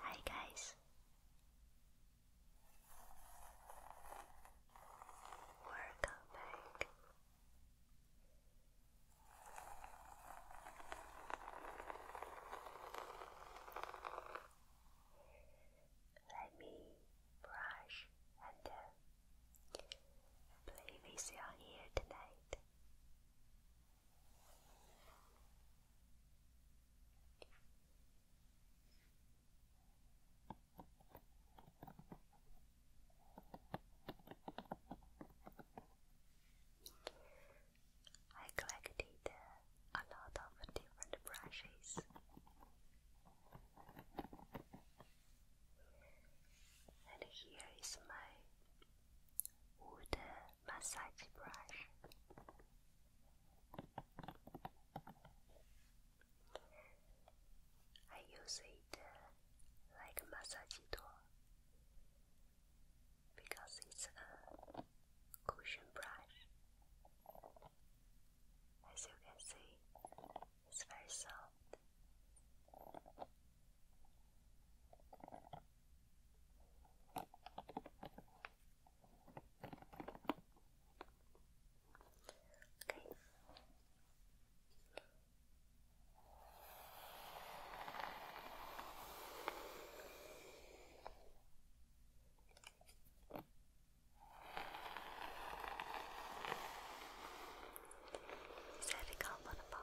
Hi guys. Welcome Let me brush and uh, play with your hair tonight. I collected a lot of different brushes. And here is my or the massage brush. I use it uh, like a massage tool because it's a cushion brush. As you can see, it's very soft. Okay. Is that a bottom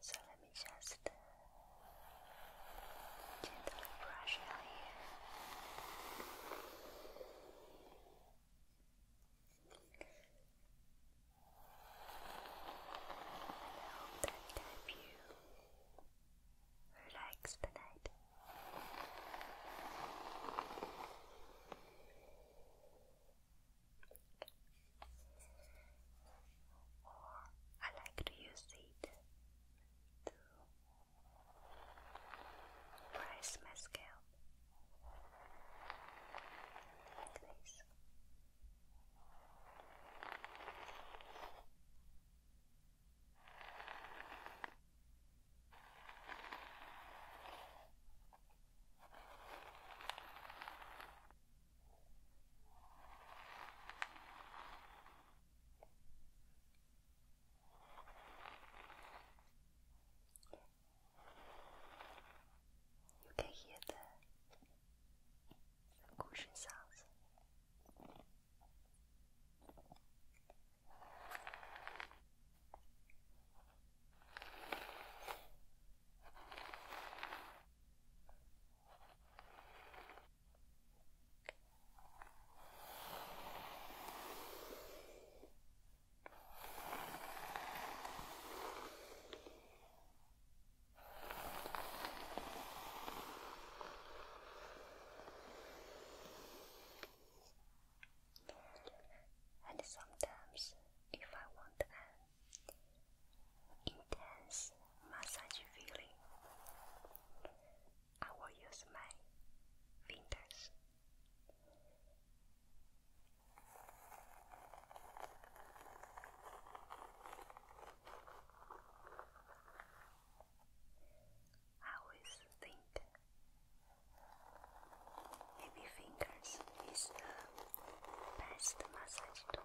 So let me just uh, gently brush out hair. And hope that you relax tonight. Or I like to use the shade to press my scalp like you can hear the, cushion sounds. And sometimes, if I want intense massage feeling. I will use my fingers. I always think maybe fingers is the best massage tool.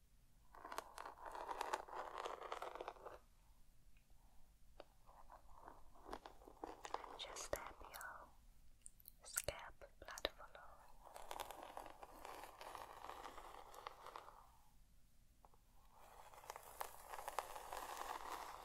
Just tap your scalp blood flow. Just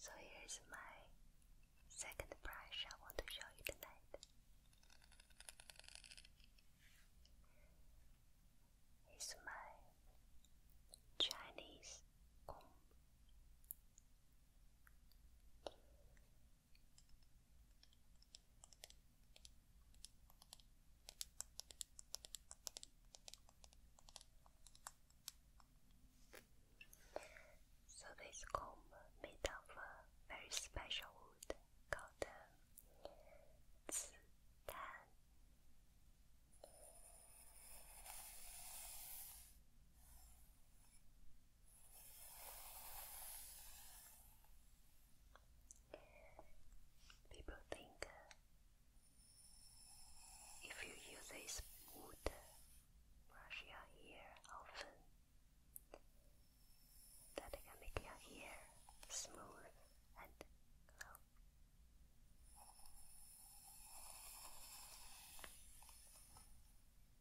So here's my second brush I want to show you tonight. It's my Chinese comb. So this comb made of a very special wood called uh, People think if you use a smooth brush your hair often, that can make your hair smooth and glow.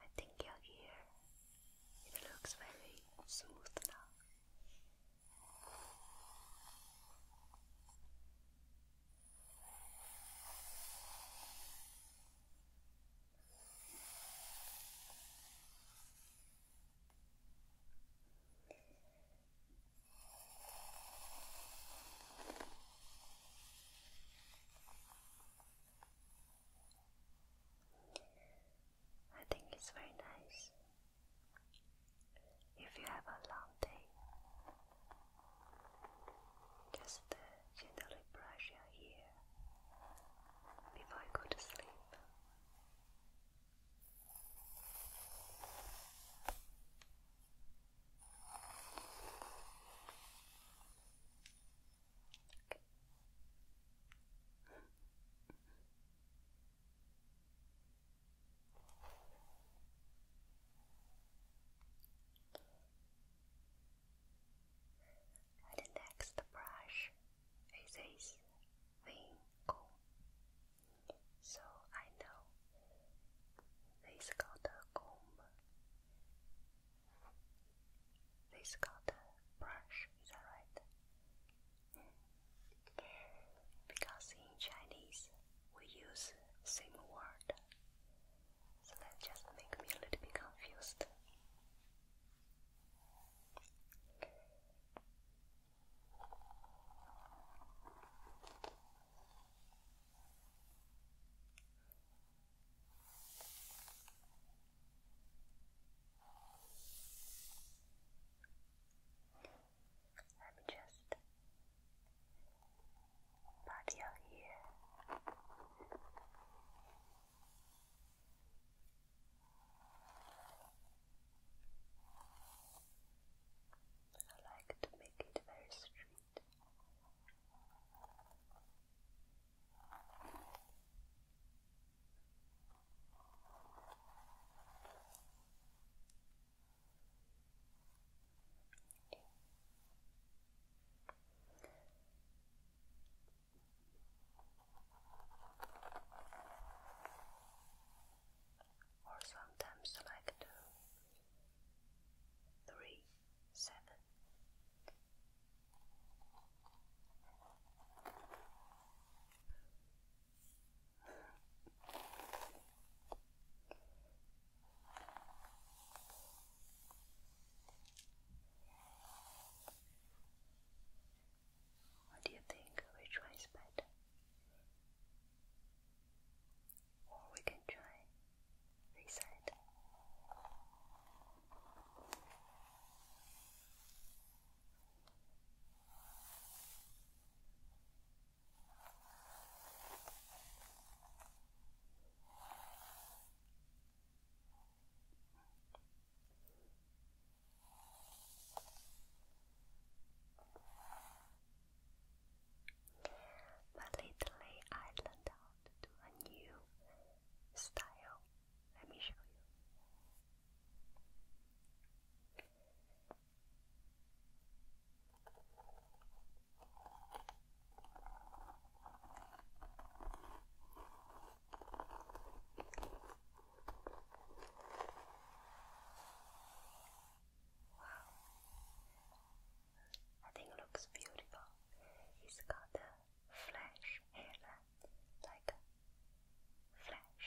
I think your hair it looks very smooth now. I think it's very nice if you have a long day. Just uh, gently brush your hair before you go to sleep. And next brush with his finger. So I know this got a comb. This got a brush, is that right? Because in Chinese we use same word. So that just make me a little bit confused. Let me just pat your I like to make it very straight or sometimes like two, three, seven. What do you think? Which one is better? Or we can try this but lately I learned to a new style. Let me show you. I think it looks beautiful. He's got a flash hair like a flash.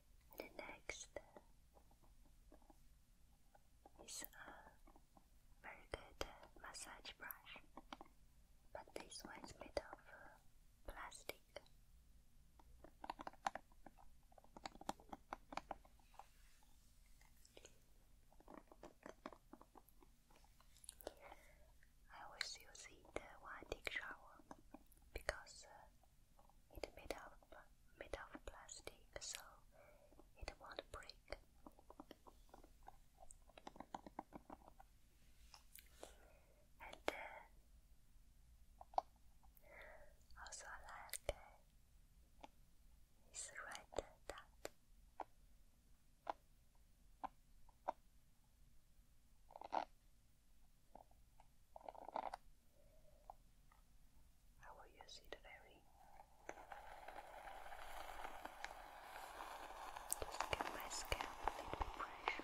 The next is a very good massage brush, but this one is made of plastic. I always use it uh, when shower because uh, it's made of, made of plastic, so it won't break. And uh, also like this red dot. How will you see the Just give my scalp a little bit pressure.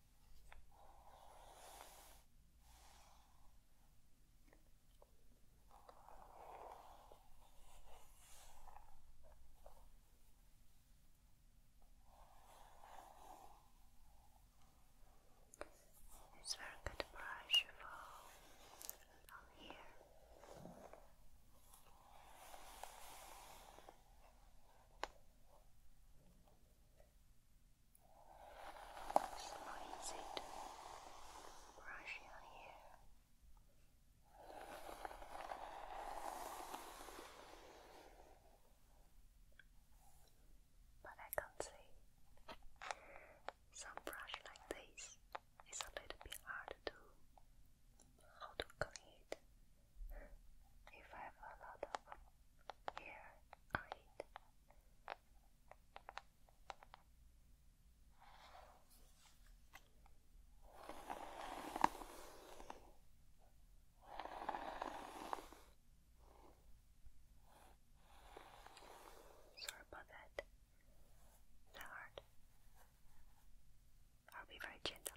It's very good brush for on here. So it brush your hair? But I can't see. Some brush like this is a little bit hard to how to clean it. If I have a lot of here, right. Sorry about that. hard. I'll be very gentle.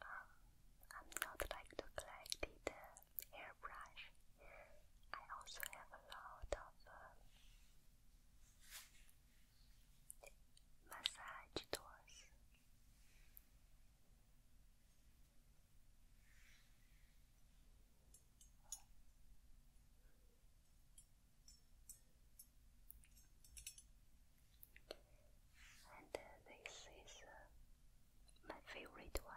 Um, I'm not like to collect the, the I also have a lot of um, massage tools. And uh, this is uh, my favorite one.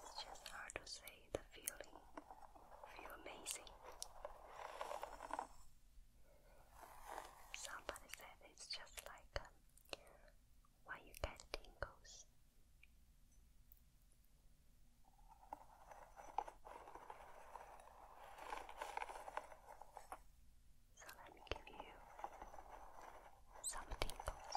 It's just hard to say the feeling. Feel amazing. Somebody said it's just like um, you get tingles. So let me give you some tingles.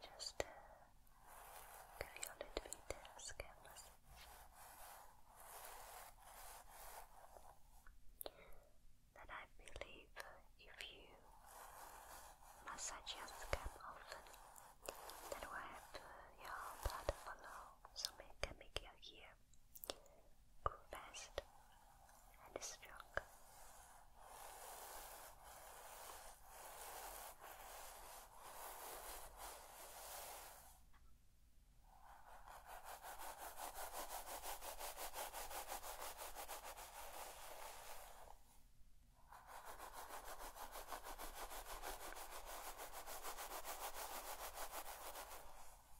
Just uh, give you a little bit of skin That I believe if you massage your scalp often, that will help your blood flow, so it can make your hair Grow faster and stronger.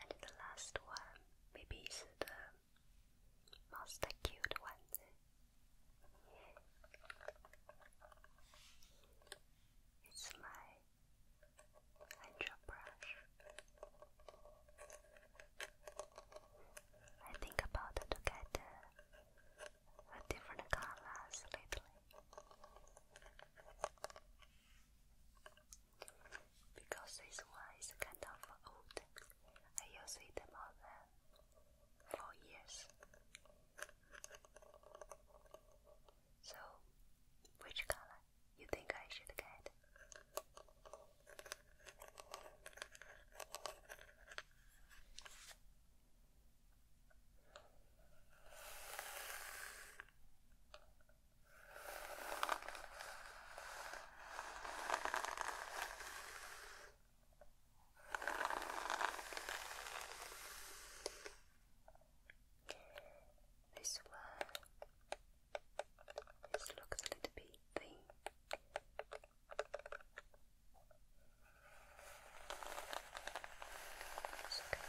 And the last one, maybe the most cute one. It's my and your brush. I think about to get a different colors lately because this one is kind of old. I use it more four years. So, which color you think I should get? This one, this looks a little bit thin. it can give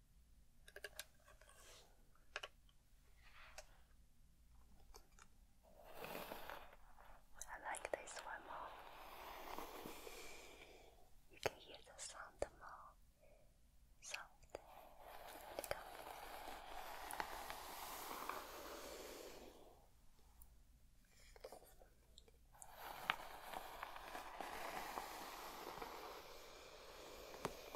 I like this one more. You can hear the sound more soft and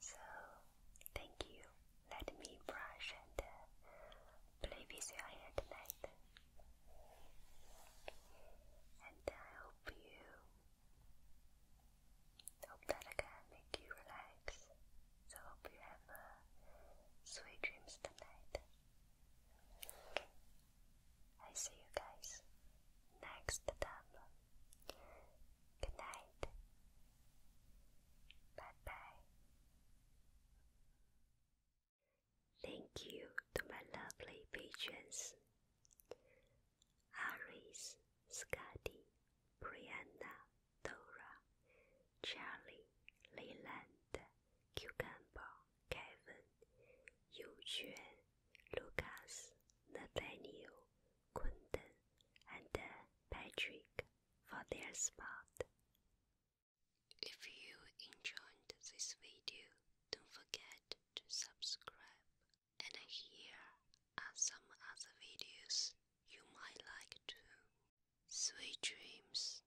So, thank you. Let me brush and uh, play with your hair tonight. And I hope you hope that I can make you relax. So hope you have uh, sweet dreams tonight. I see you guys next time. Good night. Bye bye. Thank you to my lovely patrons Aris, Scotty, Brianna, Dora, Charlie, Leland. Cucumber, Kevin, Lucas, Nathaniel, Quentin, and uh, Patrick for their spot. If you enjoyed this video, don't forget to subscribe. And here are some other videos you might like too. Sweet dreams.